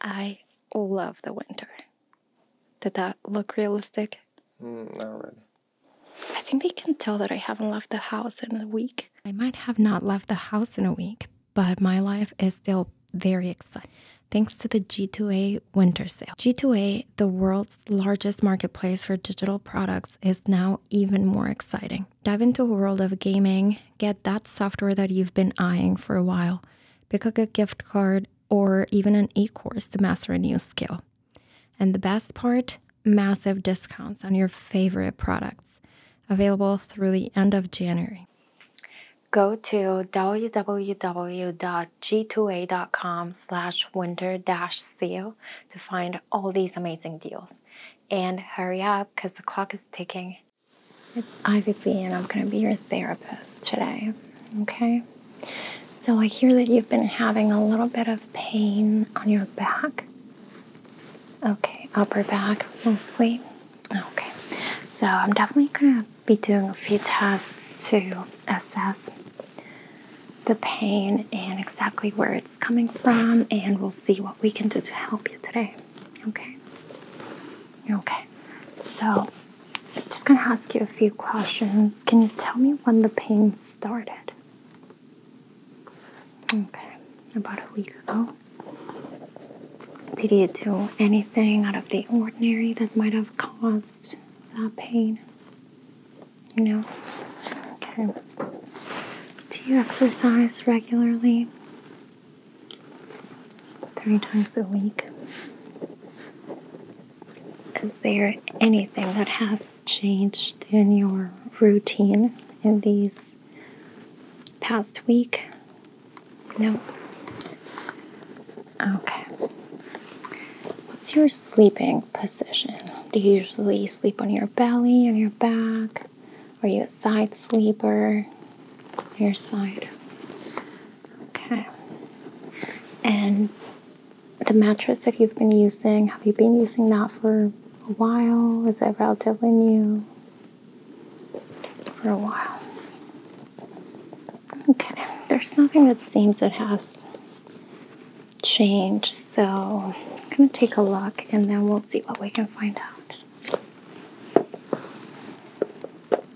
I love the winter. Did that look realistic? Mm, not really. I think they can tell that I haven't left the house in a week. I might have not left the house in a week, but my life is still very exciting thanks to the G2A winter sale. G2A, the world's largest marketplace for digital products, is now even more exciting. Dive into a world of gaming, get that software that you've been eyeing for a while, pick up a gift card, or even an e course to master a new skill. And the best part massive discounts on your favorite products available through the end of January. Go to www.g2a.com slash winter dash sale to find all these amazing deals. And hurry up because the clock is ticking it's Ivy B, and I'm going to be your therapist today. Okay? So I hear that you've been having a little bit of pain on your back. Okay, upper back mostly. Okay. So I'm definitely going to be doing a few tests to assess the pain and exactly where it's coming from, and we'll see what we can do to help you today okay okay so I'm just gonna ask you a few questions can you tell me when the pain started okay about a week ago did you do anything out of the ordinary that might have caused that pain no okay do you exercise regularly three times a week. Is there anything that has changed in your routine in these past week? No. Okay. What's your sleeping position? Do you usually sleep on your belly, on your back? or you side sleeper, your side. Okay. And the mattress that you've been using, have you been using that for a while? Is it relatively new? For a while. Okay, there's nothing that seems it has changed, so I'm gonna take a look and then we'll see what we can find out.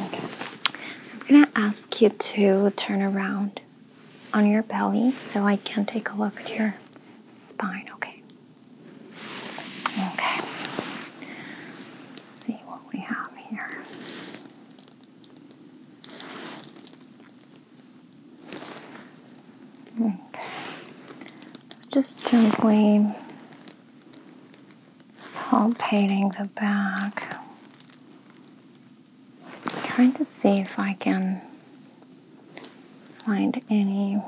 I'm gonna ask you to turn around on your belly so I can take a look at your spine, okay? Okay. Let's see what we have here. Okay. Just gently palpating the back. Trying to see if I can find any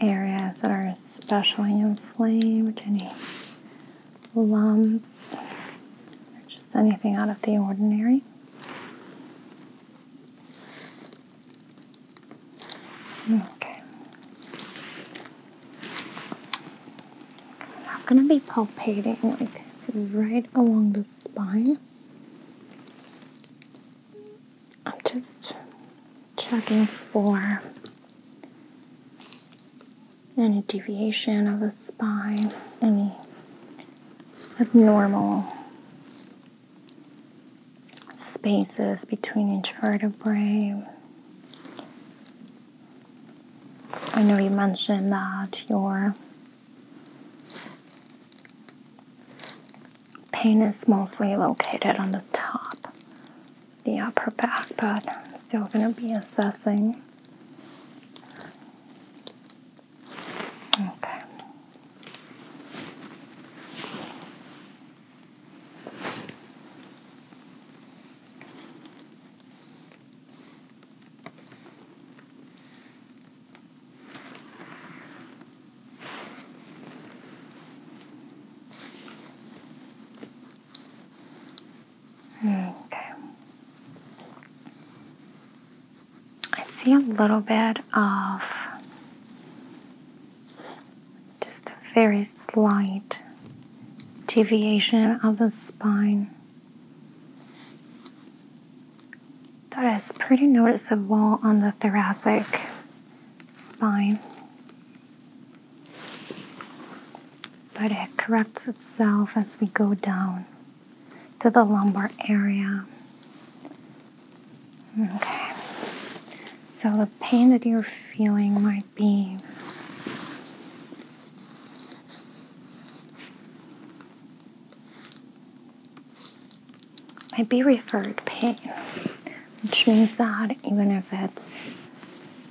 areas that are especially inflamed, any lumps, or just anything out of the ordinary. Okay. I'm gonna be palpating like right along the spine. I'm just checking for any deviation of the spine, any abnormal spaces between each vertebrae. I know you mentioned that your pain is mostly located on the top, the upper back, but I'm still going to be assessing. Okay. Okay. I see a little bit of just a very slight deviation of the spine that is pretty noticeable on the thoracic spine but it corrects itself as we go down to the lumbar area okay so the pain that you're feeling might might be. Might referred pain, which means that even if it's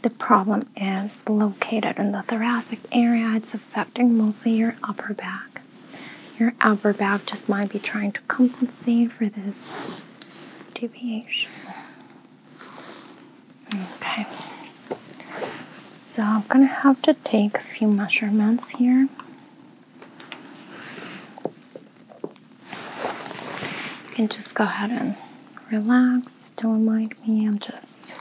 the problem is located in the thoracic area, it's affecting mostly your upper back. Your upper back just might be trying to compensate for this deviation. Okay. So I'm gonna have to take a few measurements here. You can just go ahead and relax. Don't mind me. I'm just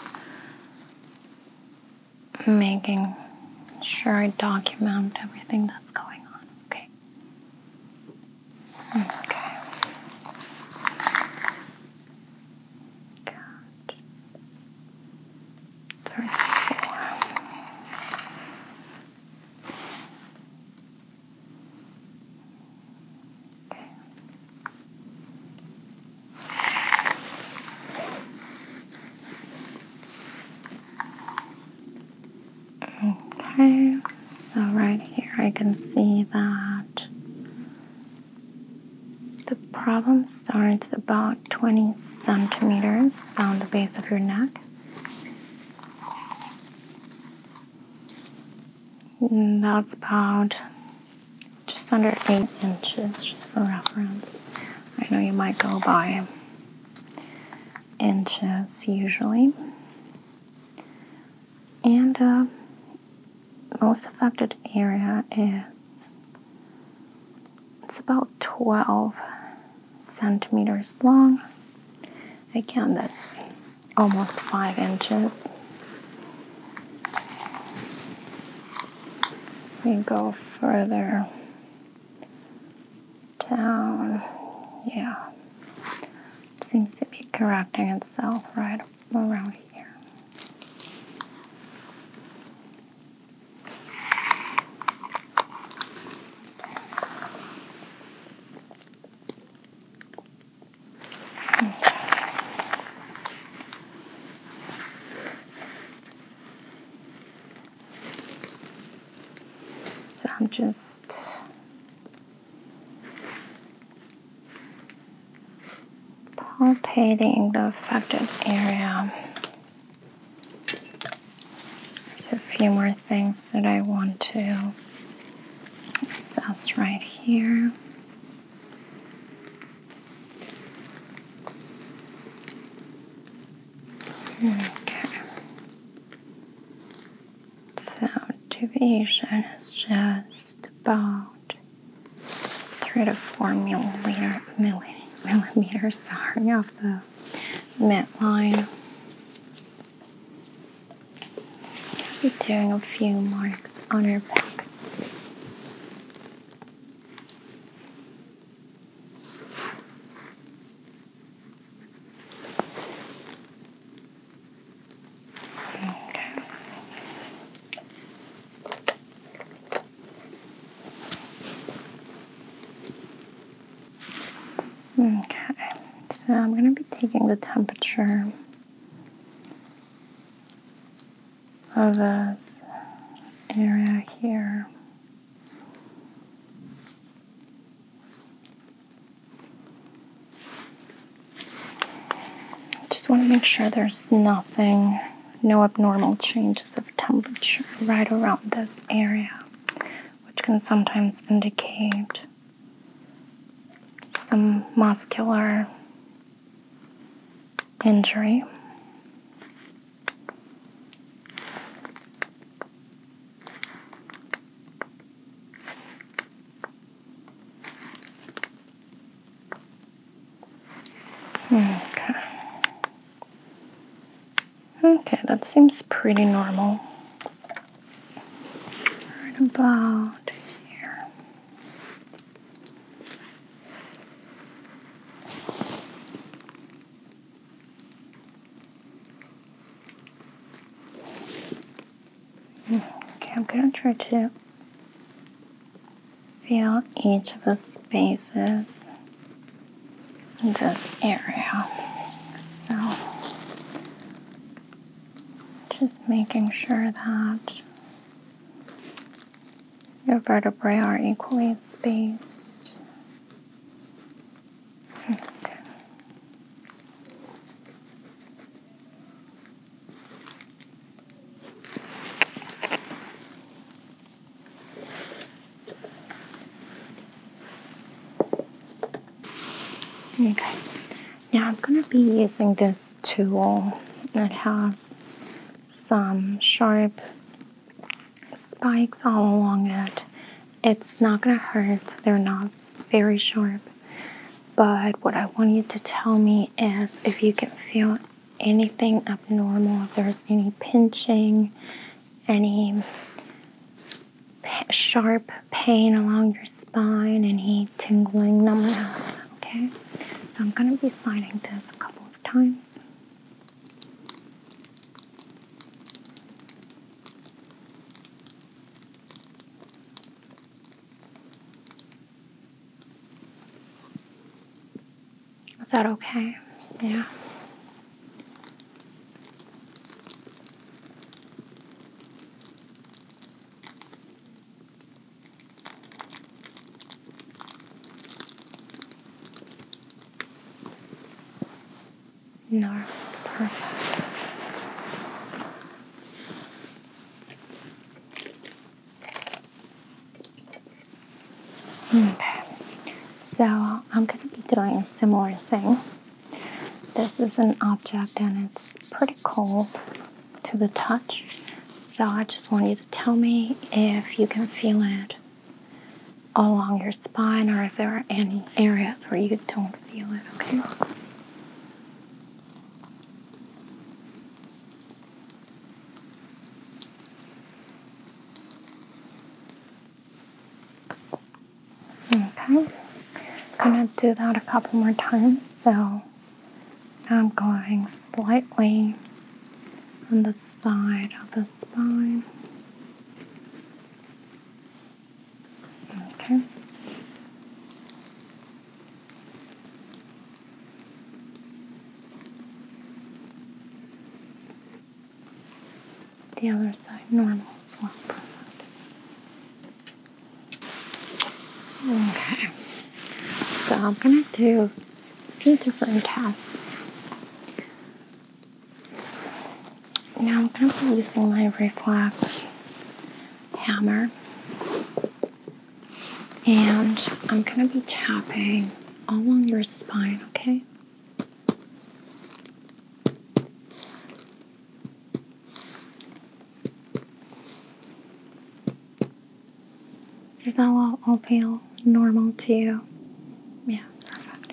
making sure I document everything that's going on. Okay. Okay. Count. Thirty-four. Okay. Okay, so right here I can see that the problem starts about 20 centimeters down the base of your neck. And that's about just under 8 inches, just for reference. I know you might go by inches usually and the uh, most affected area is it's about 12 centimeters long again that's almost five inches we go further down yeah seems to be correcting itself right while here. So I'm just palpating the affected area. There's a few more things that I want to assess right here. Hmm, okay. So deviation is just about three to four millimeter, millimeters sorry, off the midline. I'll be doing a few marks on your back. Okay. Okay, so I'm going to be taking the temperature of this area here. Just want to make sure there's nothing, no abnormal changes of temperature right around this area, which can sometimes indicate some muscular injury. Hmm, okay. Okay, that seems pretty normal. Right about here. Okay, I'm gonna try to fill each of the spaces in this area. So, just making sure that your vertebrae are equally spaced. Hmm, okay. Okay now I'm going to be using this tool that has some sharp spikes all along it. It's not going to hurt, they're not very sharp. But what I want you to tell me is if you can feel anything abnormal, if there's any pinching, any sharp pain along your spine, any tingling numbness. Okay, so I'm going to be sliding this a couple of times. Is that okay? Yeah. No, perfect. Okay, so I'm going to be doing a similar thing. This is an object and it's pretty cold to the touch, so I just want you to tell me if you can feel it along your spine or if there are any areas where you don't feel it, okay? Okay, I'm going to do that a couple more times. So I'm going slightly on the side of the spine. Okay. The other side normal as well. Okay, so I'm gonna do a different tasks. Now I'm gonna be using my reflex hammer. And I'm going to be tapping all along your spine, okay? Does that all, all feel normal to you? Yeah, perfect.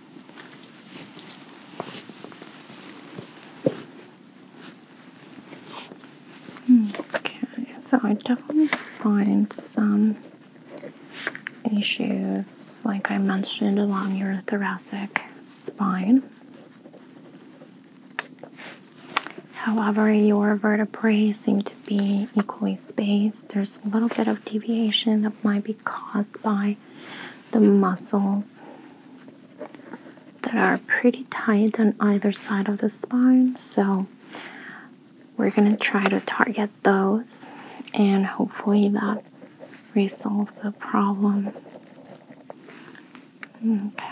Okay, so I definitely find some issues, like I mentioned, along your thoracic spine. However, your vertebrae seem to be equally spaced. There's a little bit of deviation that might be caused by the muscles that are pretty tight on either side of the spine. So, we're going to try to target those, and hopefully, that resolves the problem. Okay.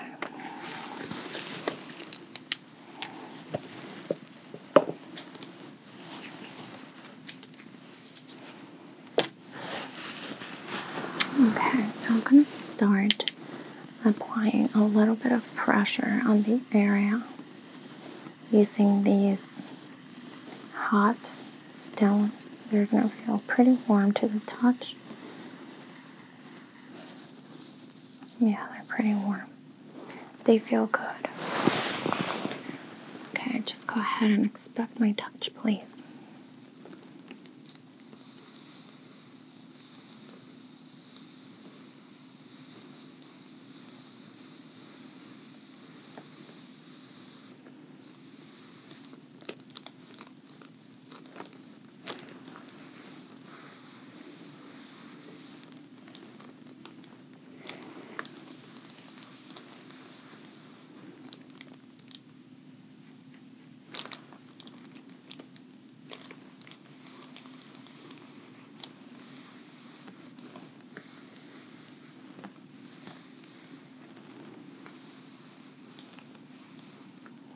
Okay, so I'm going to start applying a little bit of pressure on the area using these hot stones. They're going to feel pretty warm to the touch. Yeah, they're pretty warm. They feel good. Okay, just go ahead and expect my touch, please.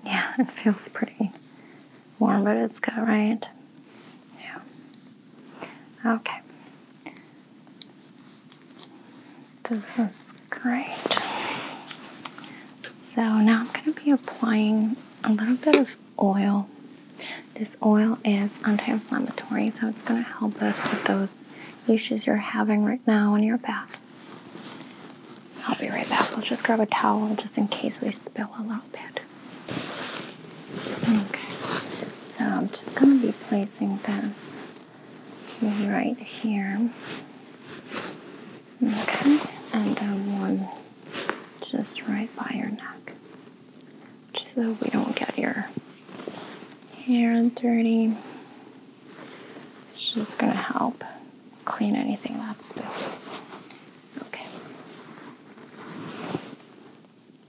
Yeah, it feels pretty warm, but it's good, right? Yeah. Okay. This is great. So now I'm going to be applying a little bit of oil. This oil is anti-inflammatory, so it's going to help us with those issues you're having right now in your back. I'll be right back. We'll just grab a towel just in case we spill a little bit. Okay, so I'm just going to be placing this right here. Okay, and then one just right by your neck. Just so we don't get your hair dirty. It's just gonna help clean anything that spills. Okay.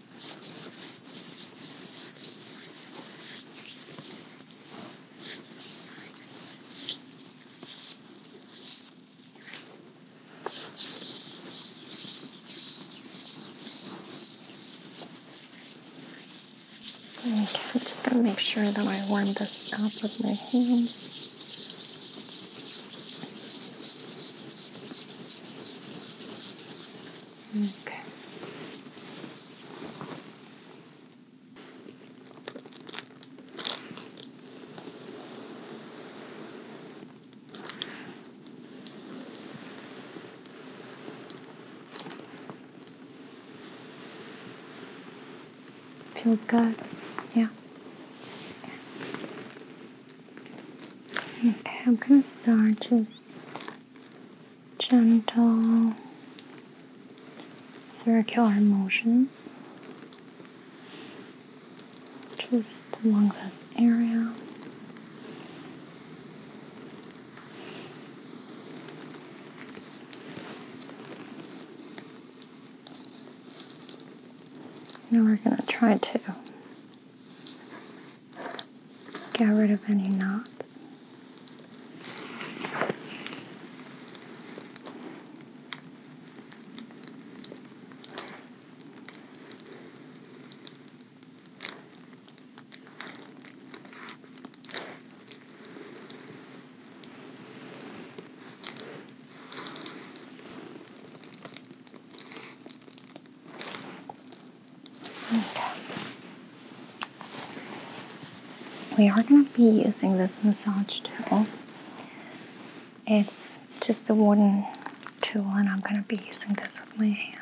Okay, I'm just going to make sure that I warm this up with my hands. Okay. Feels good. Yeah. Okay, I'm gonna start just gentle circular motions just along this area. Now we're going to try to get rid of any knots. We are going to be using this massage tool. It's just a wooden tool, and I'm going to be using this with my hands.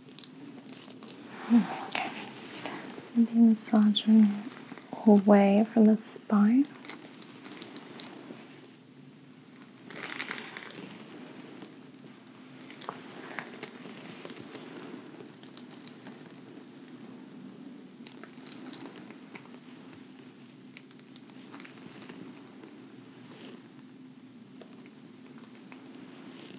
Okay. Maybe massaging away from the spine.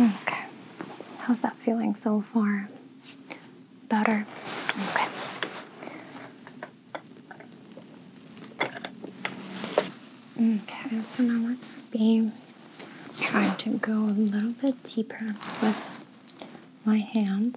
Okay. How's that feeling so far? Better? Okay. Okay, so now we're going to be trying to go a little bit deeper with my hands.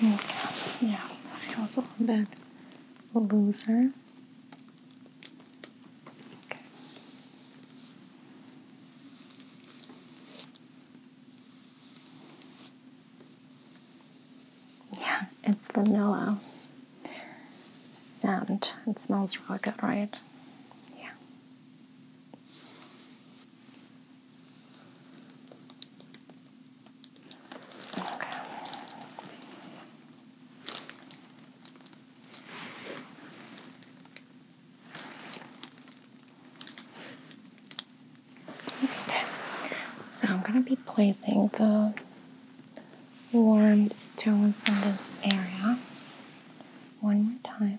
Yeah, yeah. She was a bad loser. Yeah, it's vanilla scent. It smells really good, right? Yeah. Okay, so I'm going to be placing the warm stones in this area one more time.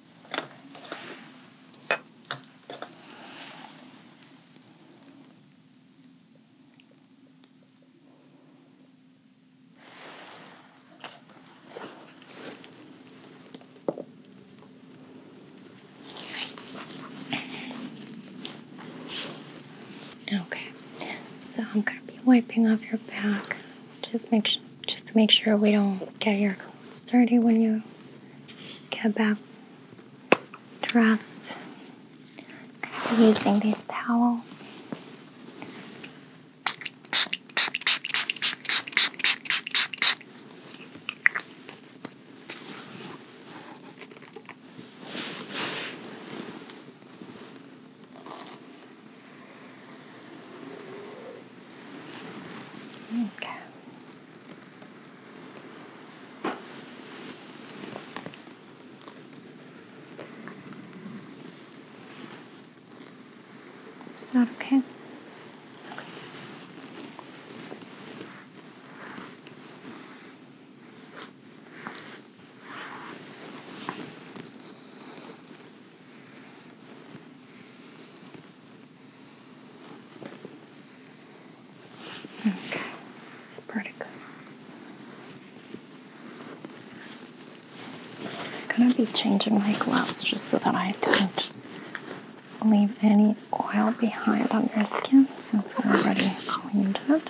Okay, so I'm going to be wiping off your back. Just make sure just to make sure we don't get your clothes dirty when you get back dressed. using these towels. There Is that okay. Okay, it's pretty good. I'm gonna be changing my gloves just so that I don't leave any oil behind on your skin since we already cleaned it.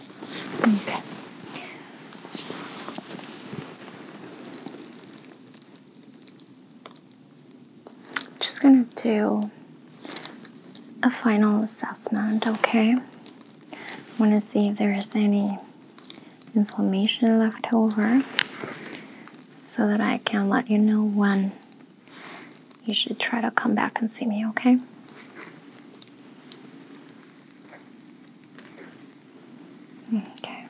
Okay. Just gonna do a final assessment, okay? I want to see if there is any inflammation left over so that I can let you know when you should try to come back and see me, okay? Okay.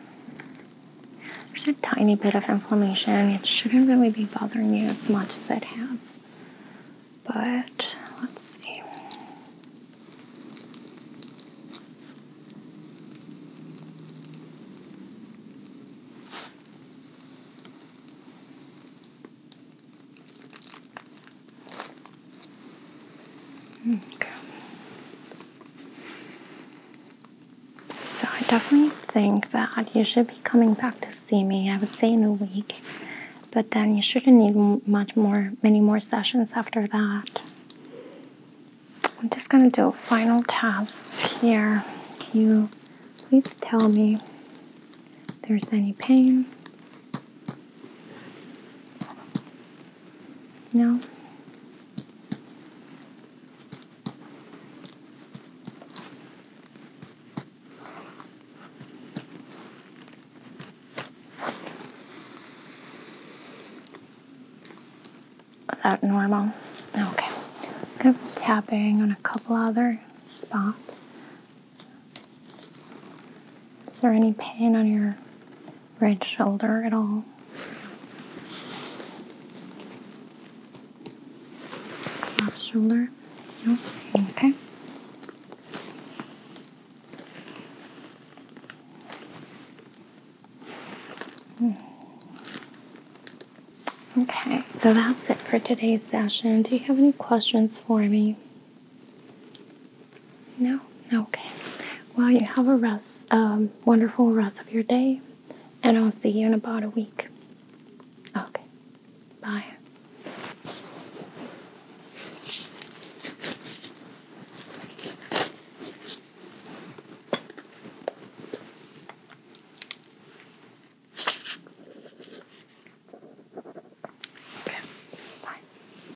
There's a tiny bit of inflammation. It shouldn't really be bothering you as much as it has. But let's see. Okay. So I definitely think that you should be coming back to see me. I would say in a week, but then you shouldn't need much more, many more sessions after that. I'm just gonna do a final test here. you please tell me there's any pain? No. Is that normal? Okay. I'm tapping on a couple other spots. Is there any pain on your right shoulder at all. Left shoulder? No? Okay. Okay, so that's it for today's session. Do you have any questions for me? No? Okay. Well, you have a rest, um, wonderful rest of your day, and I'll see you in about a week. Okay. Bye. Okay. Bye.